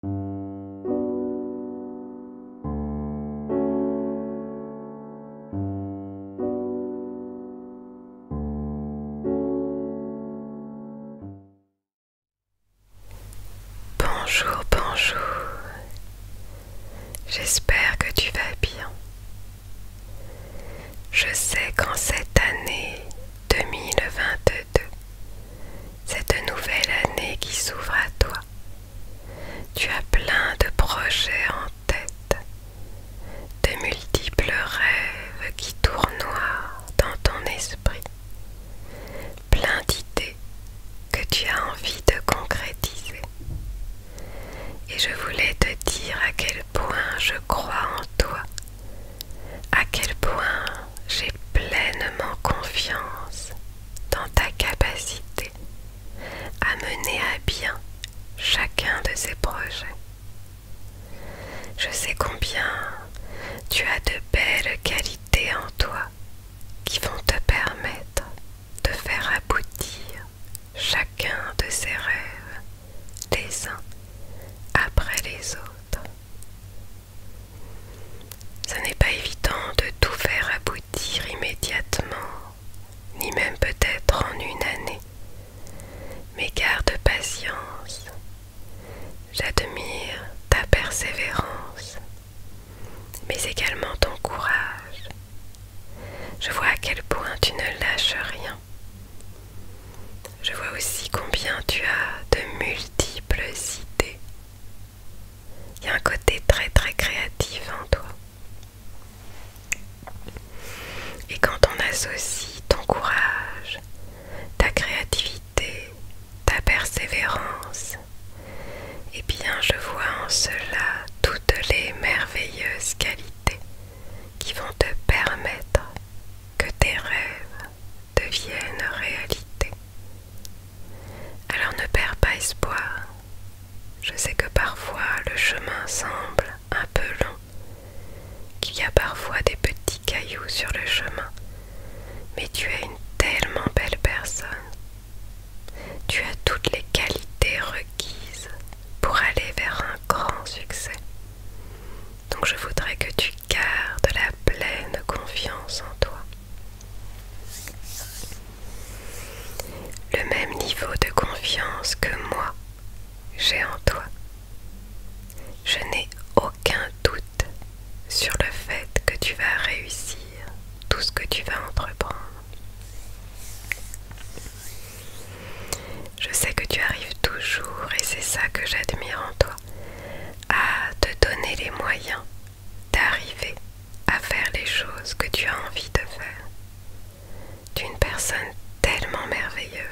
Bonjour, bonjour. J'espère que tu vas bien. Je sais qu'en cette année 2022, cette nouvelle année qui s'ouvre à toi, tu as plein de projets en tête, de multiples rêves qui tournoient dans ton esprit, plein d'idées que tu as envie de concrétiser. Et je voulais te dire à quel point je crois en toi, à quel point j'ai pleinement confiance dans ta capacité à mener à bien chacun de ces projets. Je sais combien tu as de belles qualités en toi qui vont te permettre de faire aboutir chacun de ces rêves les uns après les autres. Ce n'est pas évident de tout faire aboutir immédiatement, ni même peut-être en une année. Mais garde patience. J'admire ta persévérance, mais également ton courage. Je vois à quel point tu ne lâches rien. Je vois aussi combien tu as de multiples idées, il y a un côté très très créatif en toi. Et quand on associe ton courage, ta créativité, ta persévérance, eh bien je vois en cela toutes les merveilleuses qualités qui vont te permettre que tes rêves deviennent réalité. Alors ne perds pas espoir. Je sais que parfois le chemin semble un peu long, qu'il y a parfois des petits cailloux sur le chemin, mais tu es une tellement belle personne. Tu as toutes les qualités requises pour aller vers un grand succès. Donc je voudrais que tu gardes la pleine confiance en toi. Le même niveau de confiance que moi, j'ai en toi. Je n'ai aucun doute sur le fait que tu vas réussir tout ce que tu vas entreprendre. Je sais que tu arrives toujours et c'est ça que j'admire en toi, à te donner les moyens d'arriver à faire les choses que tu as envie de faire. Tu es une personne tellement merveilleuse.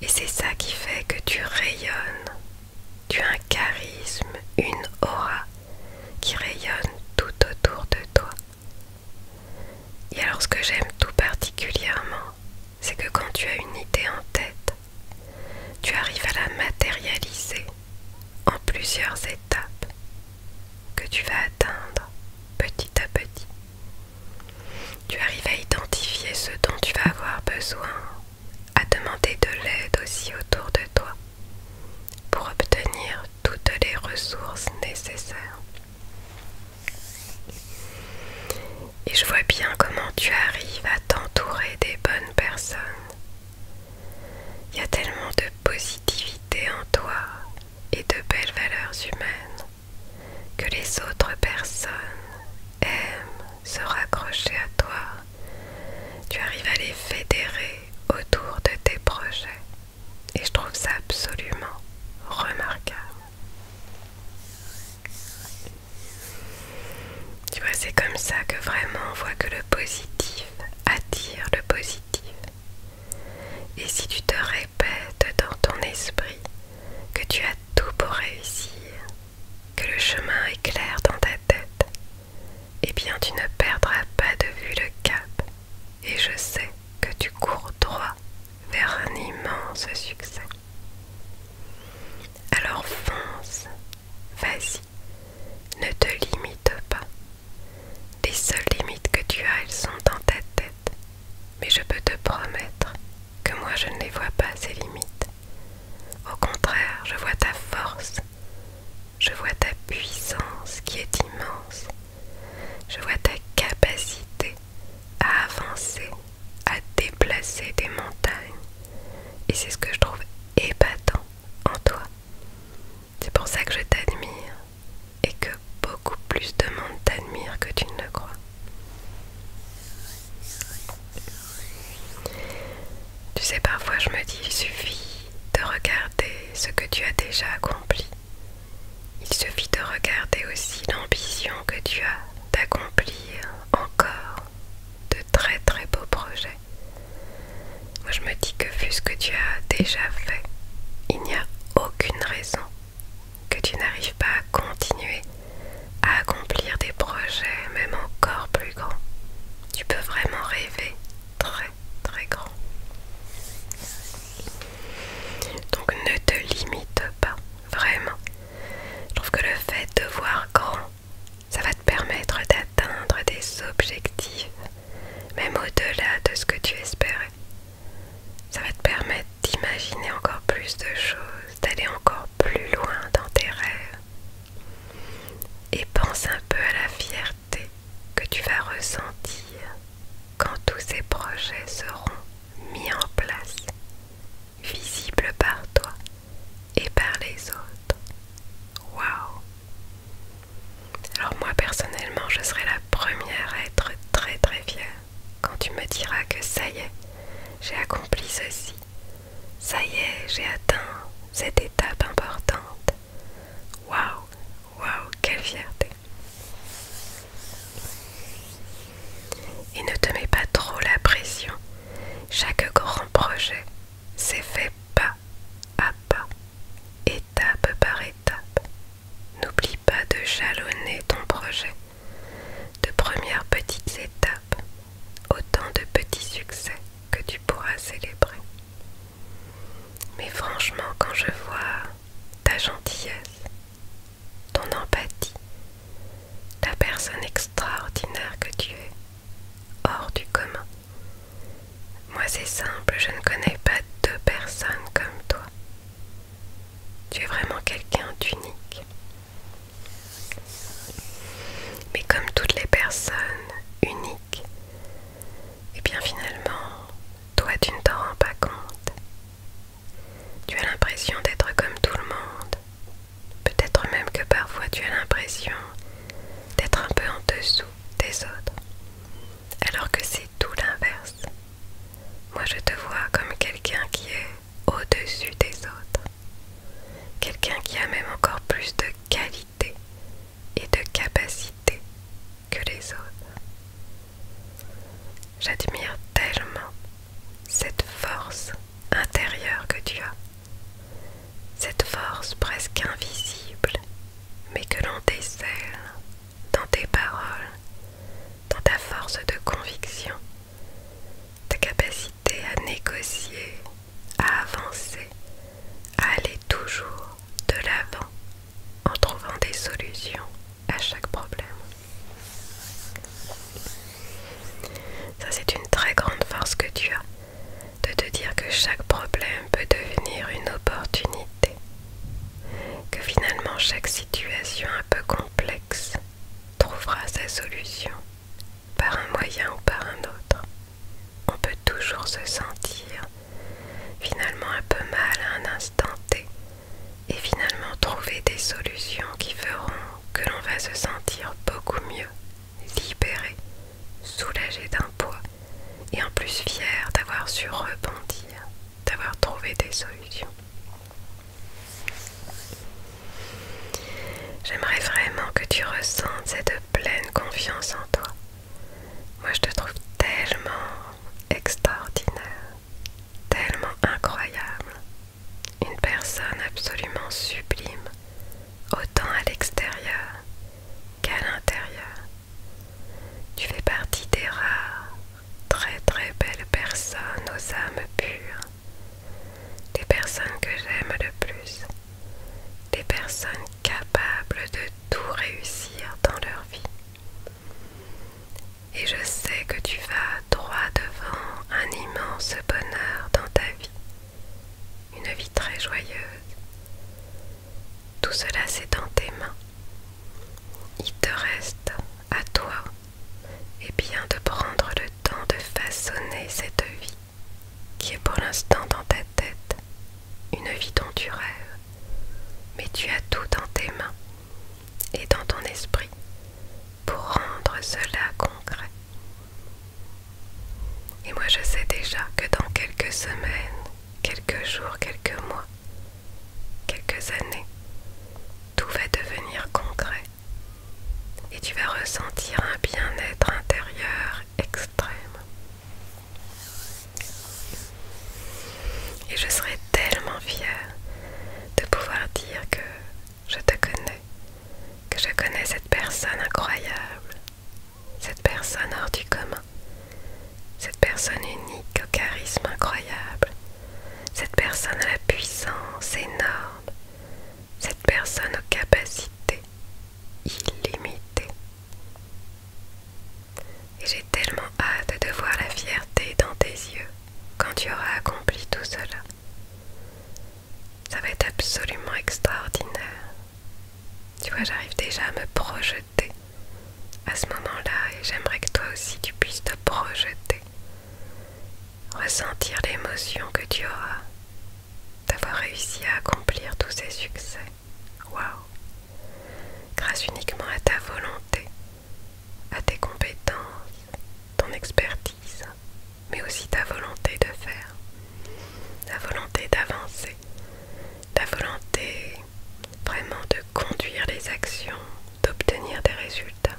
Et c'est ça qui fait que tu rayonnes. Tu as un charisme, une aura qui rayonne tout autour de toi. Et alors ce que j'aime tout particulièrement, c'est que quand tu as une idée en tête, tu arrives à la matérialiser en plusieurs étapes que tu vas atteindre petit à petit. Tu arrives à identifier ce dont tu vas avoir besoin, à demander de l'aide aussi autour de toi pour obtenir toutes les ressources nécessaires. Et je vois bien comment tu arrives à t'entourer des bonnes personnes. Il y a tellement de positivité en toi et de belles valeurs humaines que les autres personnes aiment se raccrocher à toi. Tu arrives à les fédérer autour de tes projets. Et je trouve ça absolument remarquable. Tu vois, c'est comme ça que vraiment on voit que le positif attire le positif. Et si tu te répètes dans ton esprit que tu as tout pour réussir, que le chemin est clair dans ta tête, eh bien tu ne perdras pas de vue le cap. Et je sais que tu cours droit vers un immense succès. Alors fonce Vas-y, ne te limite pas. Les seules limites que tu as, elles sont dans ta tête. Mais je peux te promettre que moi je ne les vois pas, ces limites. Au contraire, je vois ta force. Je vois ta puissance qui est immense. Je vois ta capacité à avancer à déplacer des montagnes. Et c'est ce que je trouve épatant en toi. C'est pour ça que je t'admire et que beaucoup plus de monde t'admire que tu ne le crois. Tu sais, parfois je me dis, il suffit de regarder ce que tu as déjà accompli. Il suffit de regarder aussi l'ambition que tu as d'accomplir encore de très très beaux projets. Moi je me dis que vu ce que tu as déjà fait, il n'y a aucune raison que tu n'arrives pas à continuer à accomplir des projets même encore plus grands. Tu peux vraiment rêver très très grand. Donc ne te limite pas, vraiment. Je trouve que le fait de voir grand ça va te permettre d'atteindre des objectifs, même au-delà de ce que tu espérais. Ça va te permettre d'imaginer encore plus de choses, d'aller encore plus loin dans tes rêves. Et pense un peu à la fierté que tu vas ressentir quand tous ces projets seront mis en place visible par toi et par les autres. Waouh Alors moi personnellement, je serai la première à être très très fière quand tu me diras que ça y est, j'ai accompli ceci. Ça y est, j'ai atteint cette étape importante. Waouh Waouh, quelle fierté et ne te mets pas trop la pression. Chaque grand projet s'est fait pas à pas, étape par étape. N'oublie pas de jalonner ton projet de premières petites étapes, autant de petits succès que tu pourras célébrer. Mais franchement, quand je vois ta gentillesse, ton empathie, la personne extraordinaire que tu es, hors du commun. Moi c'est simple, je ne connais pas deux personnes comme toi. Tu es vraiment quelqu'un d'unique. Mais comme toutes les personnes uniques, et eh bien finalement, toi tu ne t'en rends pas compte. Tu as l'impression d'être comme tout le monde, Peut-être même que parfois tu as l'impression d'être un peu en dessous des autres, alors que c'est tout l'inverse. Moi je te vois comme quelqu'un qui est au-dessus des autres, quelqu'un qui a même encore plus de qualité et de capacité que les autres. J'admire tellement cette force intérieure que tu as, cette force presque invisible, mais que l'on décèle dans tes paroles, dans ta force de conviction, ta capacité à négocier, à avancer, à aller toujours de l'avant en trouvant des solutions à chaque problème. Ça c'est une très grande force que tu as, de te dire que chaque problème peut devenir une opportunité, que finalement chaque situation un peu complexe trouvera sa solution par un moyen ou par un autre. On peut toujours se sentir finalement un peu mal à un instant T et finalement trouver des solutions qui feront que l'on va se sentir beaucoup mieux, libéré, soulagé d'un poids et en plus fier d'avoir su rebondir, d'avoir trouvé des solutions. J'aimerais vraiment que tu ressentes cette pleine confiance en toi. Moi je te trouve tellement extraordinaire, tellement incroyable, une personne absolument sublime, autant à l'extérieur qu'à l'intérieur. Tu fais partie des rares, très très belles personnes aux âmes pures, des personnes que j'aime le plus, des personnes capables de tout réussir dans leur vie. Et je sais que tu vas droit devant un immense bonheur dans ta vie, une vie très joyeuse. Tout cela c'est dans tes mains. Il te reste à toi et bien de prendre le temps de façonner cette vie qui est pour l'instant dans ta tête, une vie dont tu rêves, mais tu as tout dans tes mains et dans ton esprit pour rendre cela concret. Et moi je sais déjà que dans quelques semaines, quelques jours, quelques mois, quelques années, tout va devenir concret et tu vas ressentir un bien-être intérieur extrême. Et je serai tellement fière de pouvoir dire que je te connais, que je connais cette personne incroyable, cette personne hors du commun, cette personne unique au charisme incroyable, cette personne à la puissance énorme, cette personne aux capacités illimitées. Et j'ai tellement hâte de voir la fierté dans tes yeux quand tu auras accompli tout cela. Ça va être absolument extraordinaire. Tu vois, j'arrive déjà à me projeter à ce moment-là et j'aimerais que toi aussi tu puisses te projeter. Ressentir l'émotion que tu auras d'avoir réussi à accomplir tous ces succès. Waouh Grâce uniquement à ta volonté, à tes compétences, ton expertise, mais aussi ta volonté de faire, ta volonté d'avancer, ta volonté vraiment de conduire les actions, d'obtenir des résultats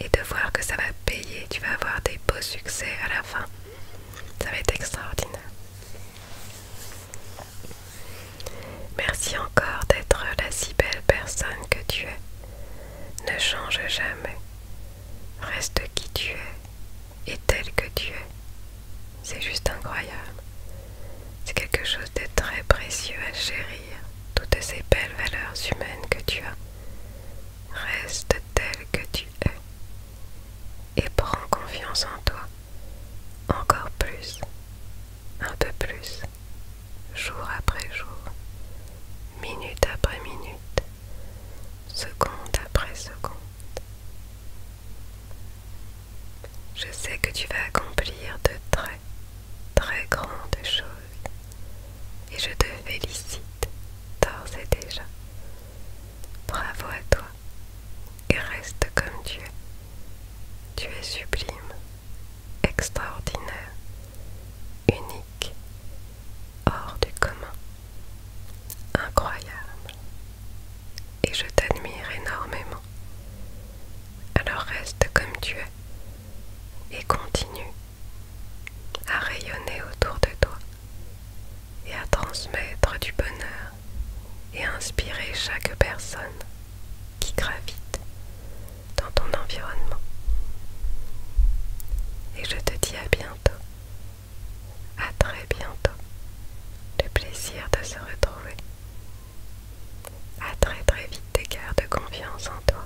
et de voir que ça va payer, tu vas avoir des beaux succès à la fin. Ça va être extraordinaire. Merci encore d'être la si belle personne que tu es. Ne change jamais. Reste qui tu es et tel que tu es. C'est juste incroyable. C'est quelque chose de très précieux à chérir, toutes ces belles valeurs humaines que tu as. Reste tel que tu es et prends confiance en toi. Encore plus. Un peu plus jour après jour, minute après minute, seconde après seconde. Je sais que tu vas accomplir de très, très grandes choses et je te félicite d'ores et déjà. Bravo à toi et reste comme tu es. Tu es sublime extraordinaire, unique, hors du commun, incroyable. Et je t'admire énormément. Alors reste comme tu es et continue à rayonner autour de toi et à transmettre du bonheur et inspirer chaque personne qui gravite dans ton environnement. Et je te dis à bientôt, à très bientôt. Le plaisir de se retrouver. À très très vite des de confiance en toi.